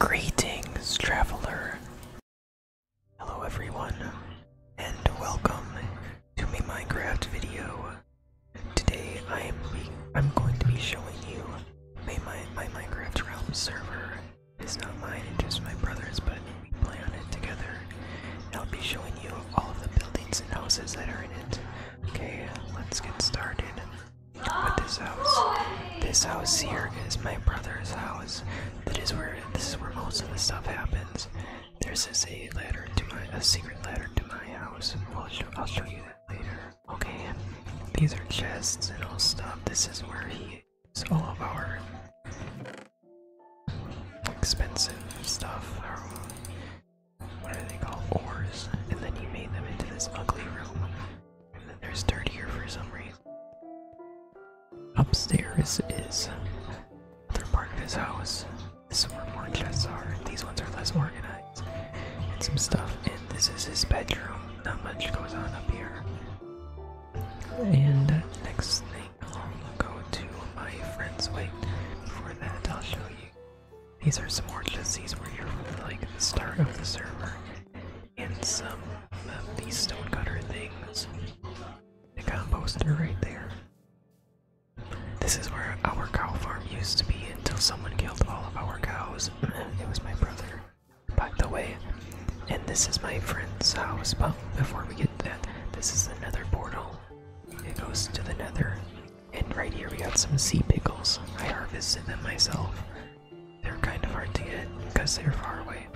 Greetings, traveler. Hello, everyone, and welcome to my Minecraft video. Today, I am I'm going to be showing you my, my, Minecraft Realm server. It's not mine, it's just my brother's, but we play on it together. And I'll be showing you all the buildings and houses that are in it. Okay, let's get started. But this house, this house here is my brother's house. That is where this is where most of the stuff happens. There's this a letter to my a secret letter to my house. I'll show you that later. Okay, these are chests and all stuff. This is where he is all of our expensive stuff. what are they called? Ores. And then he made them into this ugly room and then there's dirt here for some reason. Upstairs is another part of his house. This is where more chests are. These ones are less organized. And some stuff. And this is his bedroom. Not much goes on up here. And next thing, I'll go to my friend's. Wait, before that, I'll show you these are some more lissies where you're like the start of the server, and some of these stonecutter things. The composter right there. This is where our cow farm used to be until someone killed all of our cows. it was my brother, by the way. And this is my friend's house. But before we get that, this is another portal. It goes to the nether. And right here we got some sea pickles. I harvested them myself. They're kind of hard to get because they're far away.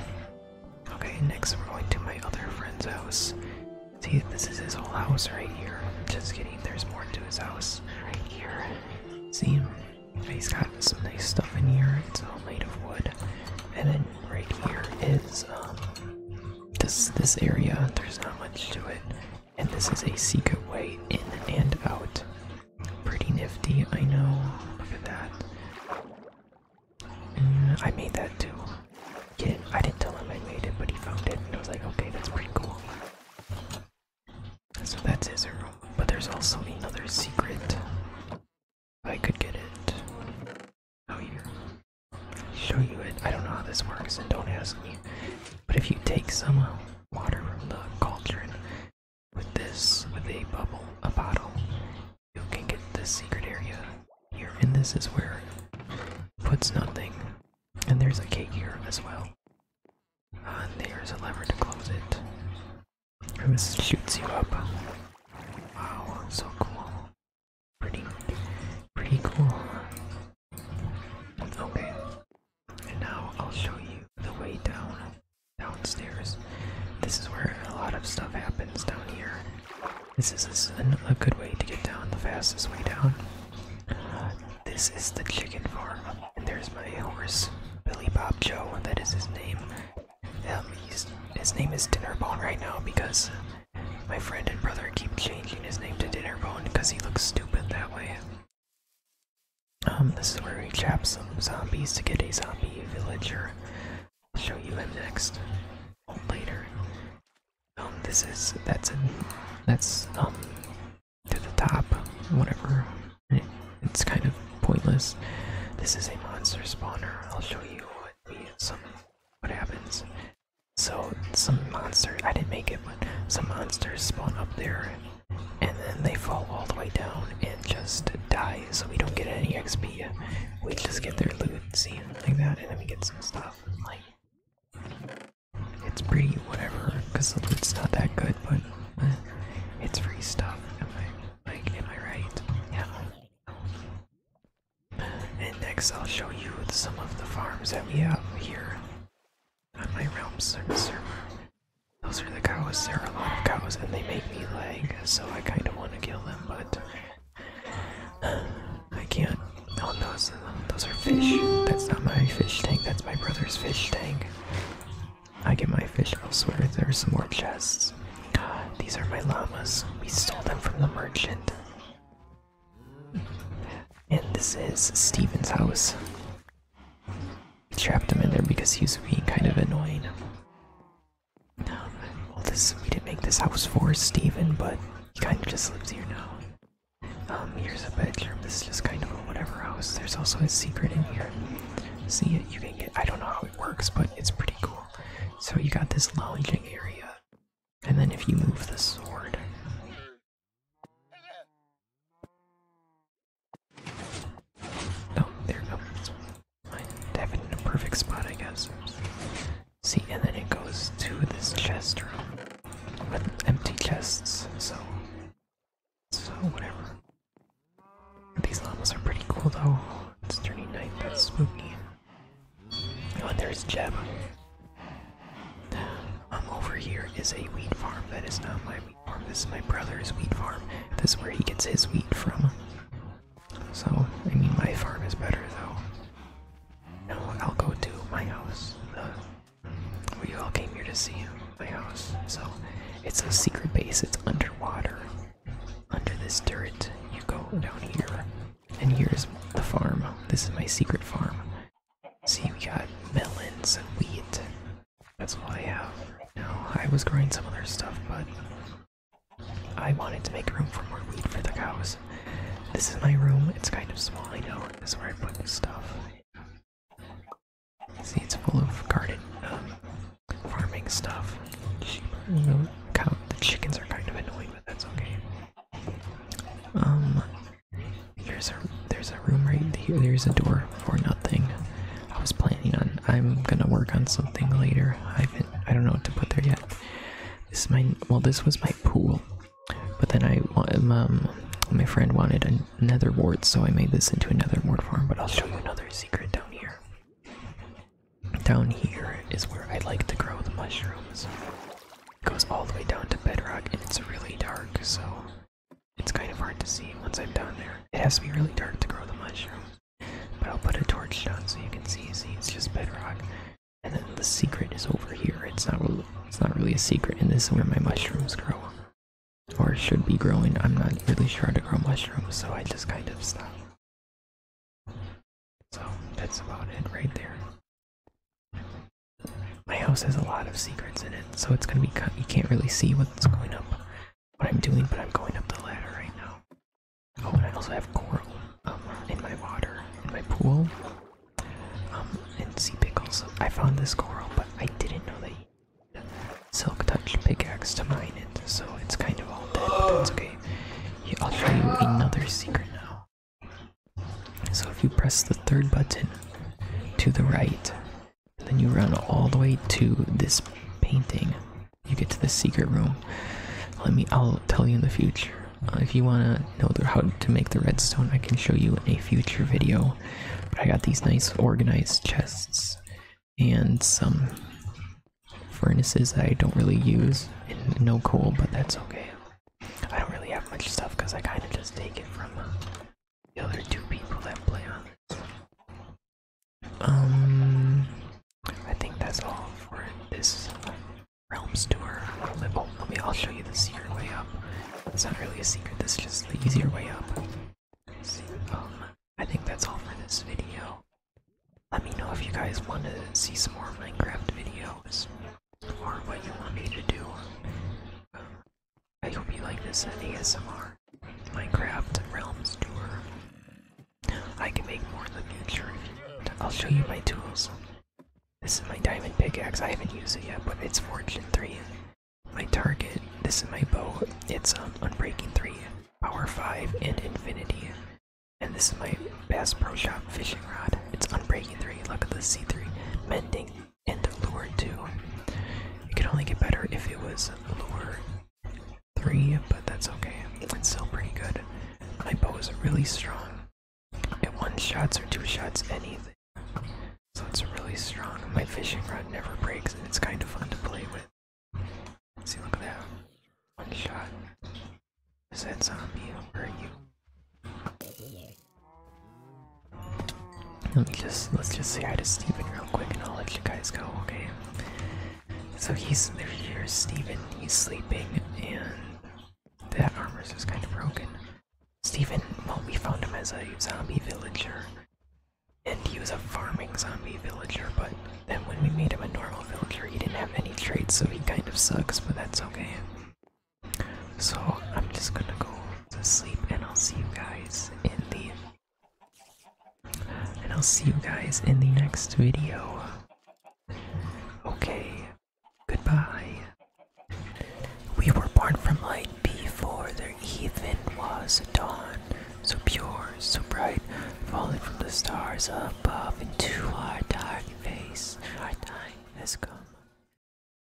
Okay, next we're going to my other friend's house. See, this is his whole house right here. Just kidding, there's more to his house right here. See, he's got some nice stuff in here. It's all made of wood. And then right here is um, this this area. There's not much to it. And this is a secret way in and out. Pretty nifty, I know. Look at that. Mm, I made that too. Kid, I didn't tell him I made it, but he found it and I was like, okay, that's pretty cool. So that's his room. But there's also another secret. I could get it. Oh, here. Show you it. I don't know how this works, and don't ask me. But if you take some uh, water from the cauldron with this, with a bubble, a bottle, you can get the secret area here. And this is where puts nothing. And there's a cake here as well. and there's a lever to close it. And this shoots you up. Wow, so cool. Pretty, pretty cool. Okay, and now I'll show you the way down, downstairs. This is where a lot of stuff happens down here. This is a, good way to get down, the fastest way down. this is the chicken farm, and there's my horse, Billy Bob Joe, that is his name. Um, his name is Dinnerbone right now because my friend and brother keep changing his name to Dinnerbone because he looks stupid that way. Um, this is where we trap some zombies to get a zombie villager. I'll show you him next. later. Um, this is, that's that's, um, to the top, whatever. it's kind of pointless. This is a monster spawner. I'll show you what we, some, what happens. So, some monsters, I didn't make it, but some monsters spawn up there and then they fall all the way down and just die, so we don't get any XP. We just get their loot, see, like that, and then we get some stuff. Like, it's pretty whatever, because the loot's not that good, but eh, it's free stuff. I, like, am I right? Yeah. And next, I'll show you some of the farms that we have here on my realm server. Those are the cows. There are a lot of cows, and they make me lag, so I kind of want to kill them, but I can't. Oh, those those are fish. That's not my fish tank. That's my brother's fish tank. I get my fish elsewhere. There are some more chests. These are my llamas. We stole them from the merchant. And this is Steven's house. Trapped him in there because he was being kind of annoying. Um, well, this we didn't make this house for Stephen, but he kind of just lives here now. Um, here's a bedroom. This is just kind of a whatever house. There's also a secret in here. See, you can get. I don't know how it works, but it's pretty cool. So you got this lounging area, and then if you move the sword, Oh, there goes. I have it in a perfect spot, I guess. See, and then it goes to this chest room with empty chests, so. So, whatever. These llamas are pretty cool though. It's turning night, that's spooky. Oh, there's Jeb. Um, over here is a wheat farm that is not my this is my brother's wheat farm. This is where he gets his wheat from. So, I mean, my farm is better though. No, I'll go to my house. Uh, we all came here to see my house. So, it's a secret base. It's underwater. Under this turret, you go down here. And here's the farm. This is my secret farm. See, we got melons and wheat that's all I have No, I was growing some other stuff, but I wanted to make room for more weed for the cows. This is my room. It's kind of small, I know. This is where I put stuff. See, it's full of garden, um, farming stuff. The, the chickens are kind of annoying, but that's okay. Um, there's a there's a room right here. There's a door for nothing. I was planning on. I'm gonna work on something later. I have I don't know what to put there yet. This is my. Well, this was my pool, but then I um, um my friend wanted another ward, so I made this into another ward for him. But I'll show you another secret down here. Down here is where I like to grow the mushrooms. It goes all the way down to bedrock, and it's really dark, so it's kind of hard to see once I'm down there. It has to be really dark to grow the mushroom, But I'll put a torch down so you can see. See, it's just bedrock. And then the secret is over here. It's not really, it's not really a secret, and this is where my mushrooms grow. Or should be growing. I'm not really sure how to grow mushrooms, so I just kind of stopped. So that's about it right there. My house has a lot of secrets in it, so it's gonna be You can't really see what's going up, what I'm doing, but I'm going up the ladder right now. Oh, and I also have coral um, in my water, in my pool, um, and sea pickles. I found this coral, but I didn't know they silk touch pickaxe to mine it, so it's kind of all dead, but that's okay. I'll show you another secret now. So if you press the third button to the right, then you run all the way to this painting. You get to the secret room. Let me. I'll tell you in the future. Uh, if you wanna know how to make the redstone, I can show you in a future video. But I got these nice organized chests and some furnaces that I don't really use no coal, but that's okay. I don't really have much stuff because I kind of just take it from the other two people that play on this. Um, I think that's all for this Realms tour. Oh, let me, I'll show you the secret way up. It's not really a secret, this is just the easier way up. um, I think that's all for this video. Let me know if you guys want to see some more Minecraft videos, or what you want me to do. I hope you like this ASMR Minecraft Realms tour. I can make more in the future. I'll show you my tools. This is my diamond pickaxe. I haven't used it yet, but it's Fortune 3. My target. This is my bow. It's um, Unbreaking 3, Power 5, and Infinity. And this is my Bass Pro Shop fishing rod. It's Unbreaking 3. Look at the C3. bending and the lure 2. It could only get better if it was lure 3, but that's okay. It's still pretty good. My bow is really strong. At one shots or two shots, anything. So it's really strong. My fishing rod never breaks, and it's kind of fun to play with. See, look at that. One shot. Is that zombie? Where you? Let me just let's just say hi to Stephen real quick and I'll let you guys go, okay? So he's there Stephen. he's sleeping and that armor's just kind of broken. Stephen, well we found him as a zombie villager. And he was a farming zombie villager, but then when we made him a normal villager, he didn't have any traits, so he kind of sucks, but that's okay. So I'm just gonna go to sleep and I'll see you guys in the and I'll see you guys in the next video. Okay, goodbye. We were born from light before there even was a dawn. So pure, so bright, falling from the stars above into our dark face. Our time has come.